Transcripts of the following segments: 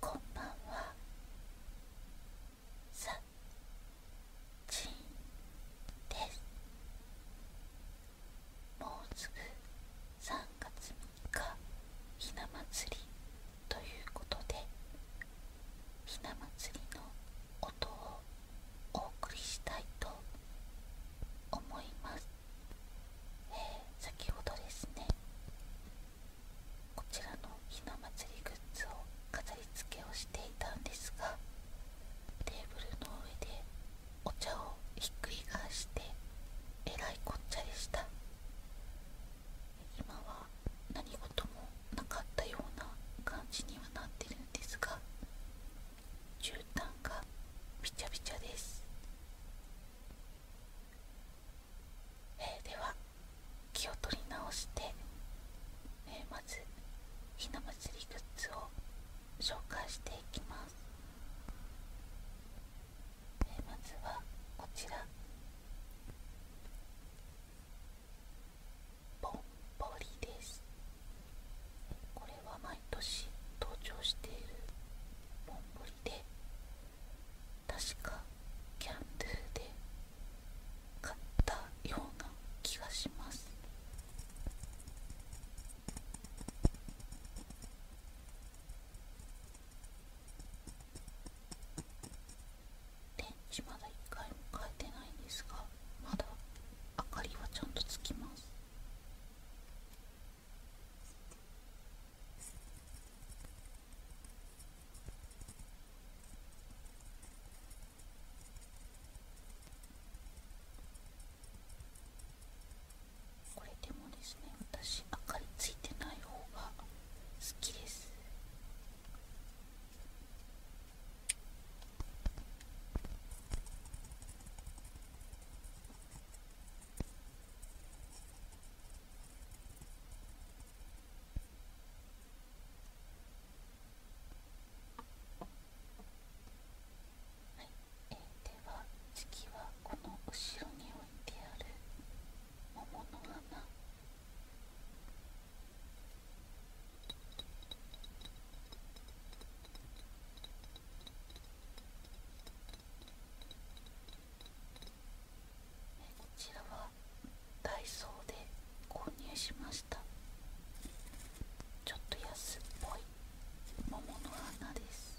こんばんはさちんですもうすぐ3月3日ひな祭りということでひな祭りの音をお送りしたいと思います、えー、先ほどですねこちらのひな祭りグッズを飾り付けをしていたんですがテーブルの上でお茶をひっくり返してえらいこっちゃでした今は何事もなかったような感じにはなってるですが絨毯がびちゃびちゃです、では気を取り直して、まずひな祭りグッズを紹介していきます、まずはこちらぼんぼりですこれは毎年登場しているぼんぼりで確かキャンドゥで買ったような気がします電池まだ1回も変えてないんですがまだ明かりはちゃんとつきますこれでもですね私明かりついてない方が好きですはい、では次はこの後ろに置いてある桃の花こちらはダイソーで購入しましたちょっと安っぽい桃の花です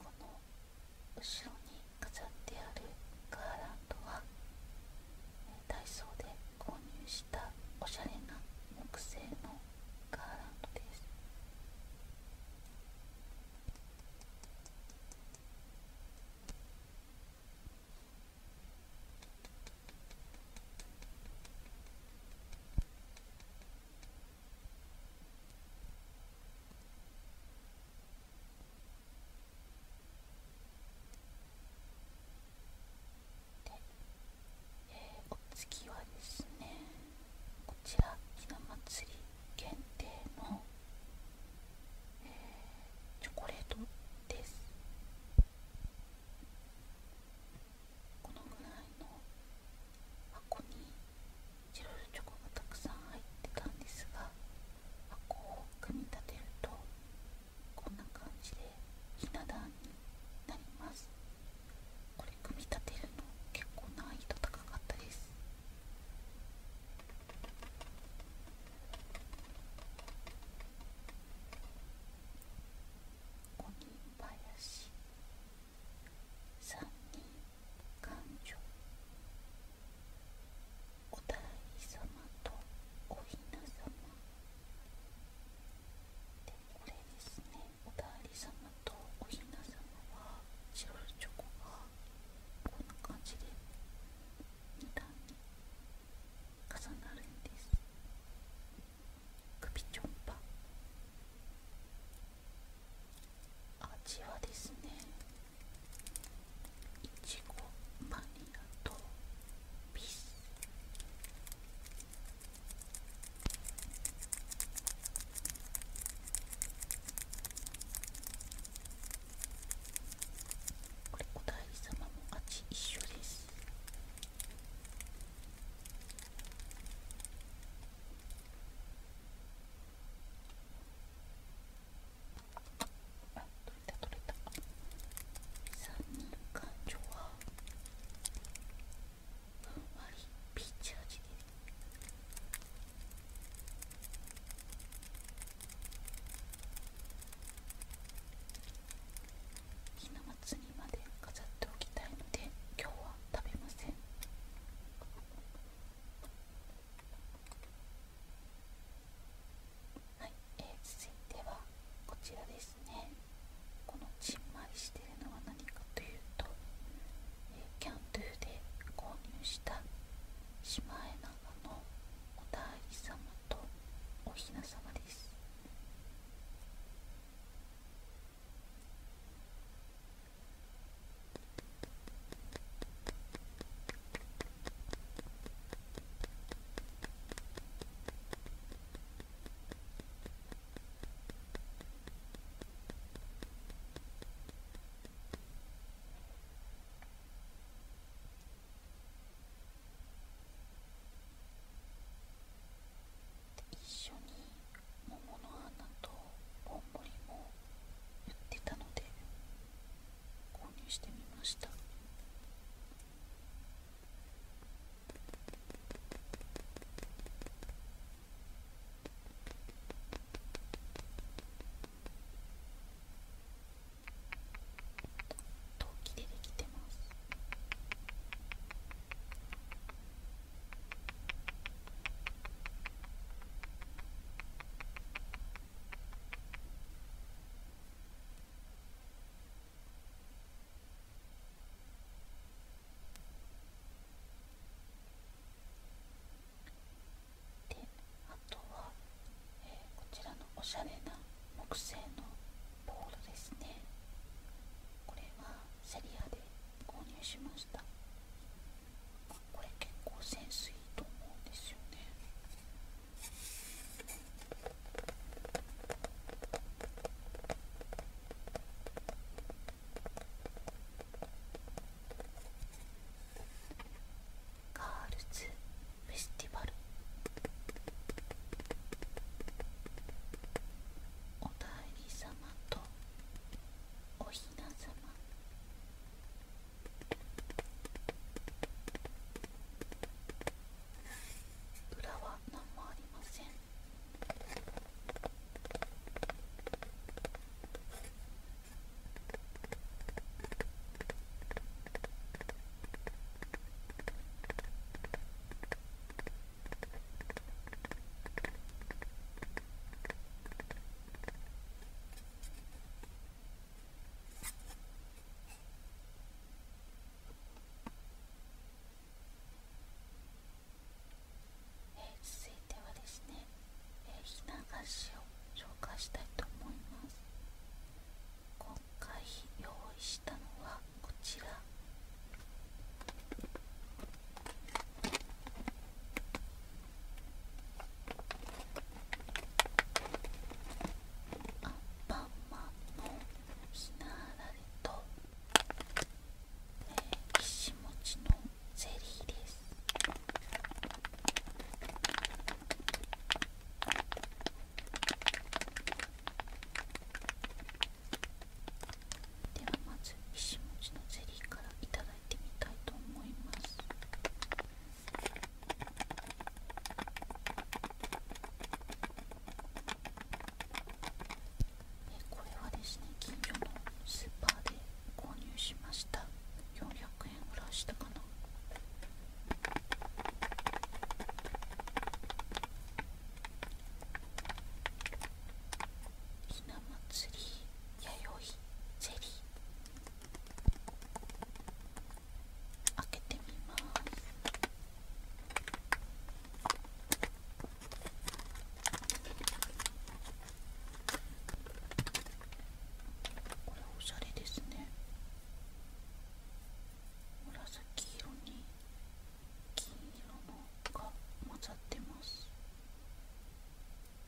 この後ろに飾ってあるガーランドは、ダイソーで購入したおしゃれな木製のガーランドですで、えー、お次はですねこちらひな祭り限定の、えチョコレートですこのぐらいの箱にチョコがたくさん入ってたんですが箱を組み立てるとこんな感じでひな壇になりますこれ組み立てるの結構難易度高かったです三人感情お大師様とおひな様でこれですねお大師様とおひな様は白いチョコがこんな感じで2段に重なるんです首ちょんぱ味はですねいちごバニラとピスおだいも味一緒ですあ取れた取れた酸味感情はふんわりピーチ味でひな祭りまで飾っておきたいので今日は食べませんはい、え続いてはこちらですねこのちんまりしてるのは何かというと、えキャンドゥで購入したシマエナガのおだい様とおひな様です一緒に桃の花とぼんぼりも売ってたので購入してみました陶器でできてます。であとは、こちらのおしゃれな木製のボールですねこれはセリアで購入しましたこれ結構センスいいと思うんですよねガールズフェスティバルおだいり様とおひな様裏は何もありません続いてはですね、えー、ひな菓子を紹介したいと思います今回用意したのはこちらアンパンマンのひなあられと、えー、石もちのゼリーですではまず石もちのゼリーからいただきます。だいてみたいと思いますこれはですね近所のスーパーで購入しました400円ぐらいしたかなひな祭りやよいゼリー開けてみますこれおしゃれですね紫色に金色のが混ざってます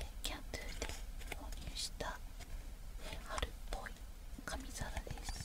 えキャンドゥで購入した、え春っぽい紙皿です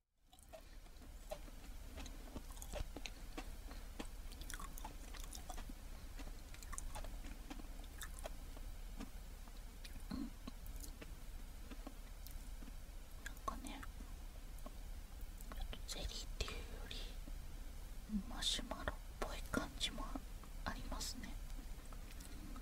うん。なんかねゼリーっていうよりマシュマロっぽい感じもありますねうん。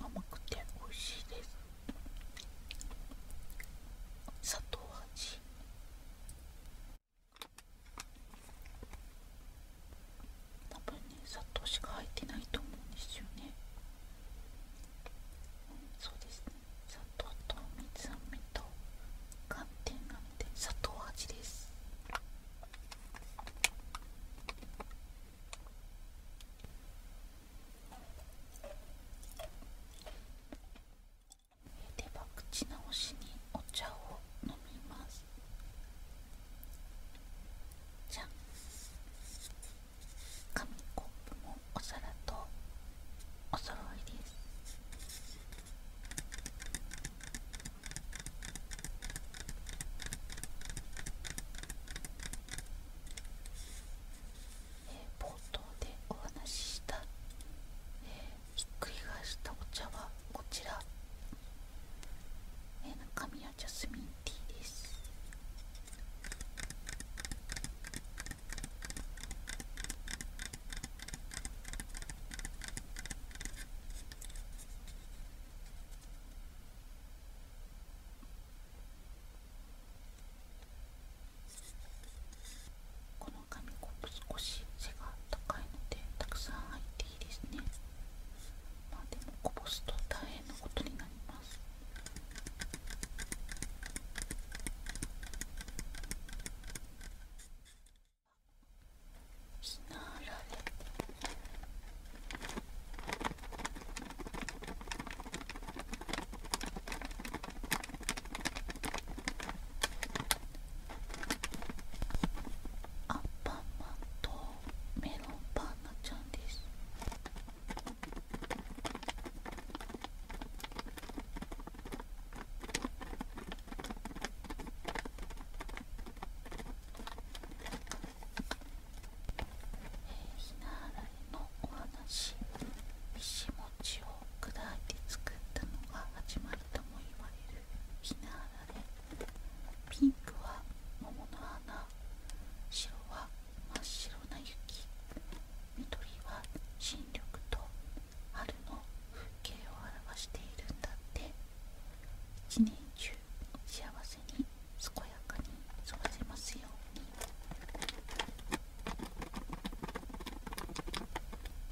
甘くて美味しいです砂糖味多分ね砂糖しか入ってないと思うんですよね、そうですね砂糖と水あと寒天なので砂糖味ですでは口直しにお茶を飲みますじゃあ紙コッお皿とお揃いですえー、冒頭でお話しした、えー、ひっくり返したお茶はこちら、えー、中身はジャスミンティーですこの紙コップ少し背が高いのでたくさん入っていいですねまあでもこぼすと大変なことになりますひなあられアンパマンとメロンパンナちゃんです。ひなあらいのお話石餅を砕いて作ったのが始まりとも言われるひなあられピンクは桃の花白は真っ白な雪緑は新緑と春の風景を表しているんだって一年中幸せに健やかに過ごせますように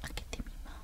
開けてみます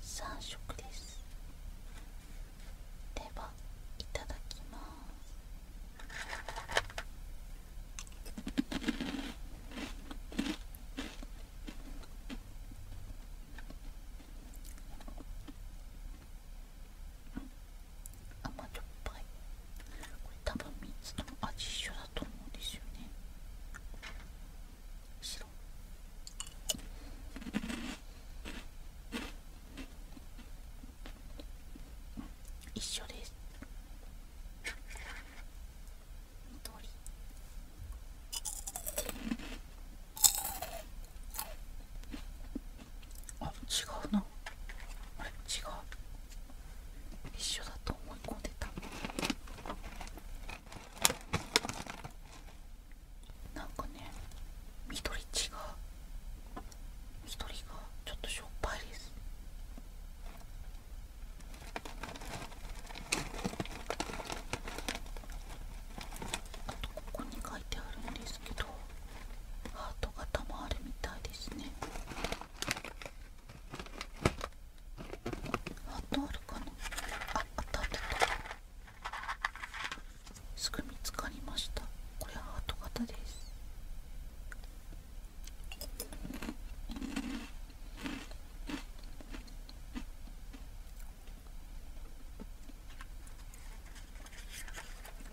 3色ですではいただきます甘じょっぱいこれ多分3つと味一緒だと思うんですよね白一緒です緑あ違うなあれ違う一緒だと思い込んでたなんかね緑地が緑がちょっとしょっぱいですあとここに書いてあるんですけどハート型もあるみたいですねあとあるかなああったあったすぐ見つかりましたこれハート型です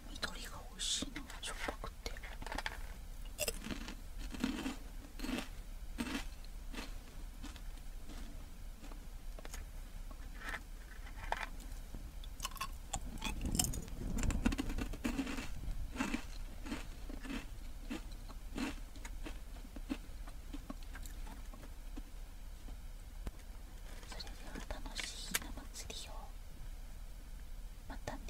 緑が美味しいなしょっぱくて。それでは楽しいひな祭りをまたね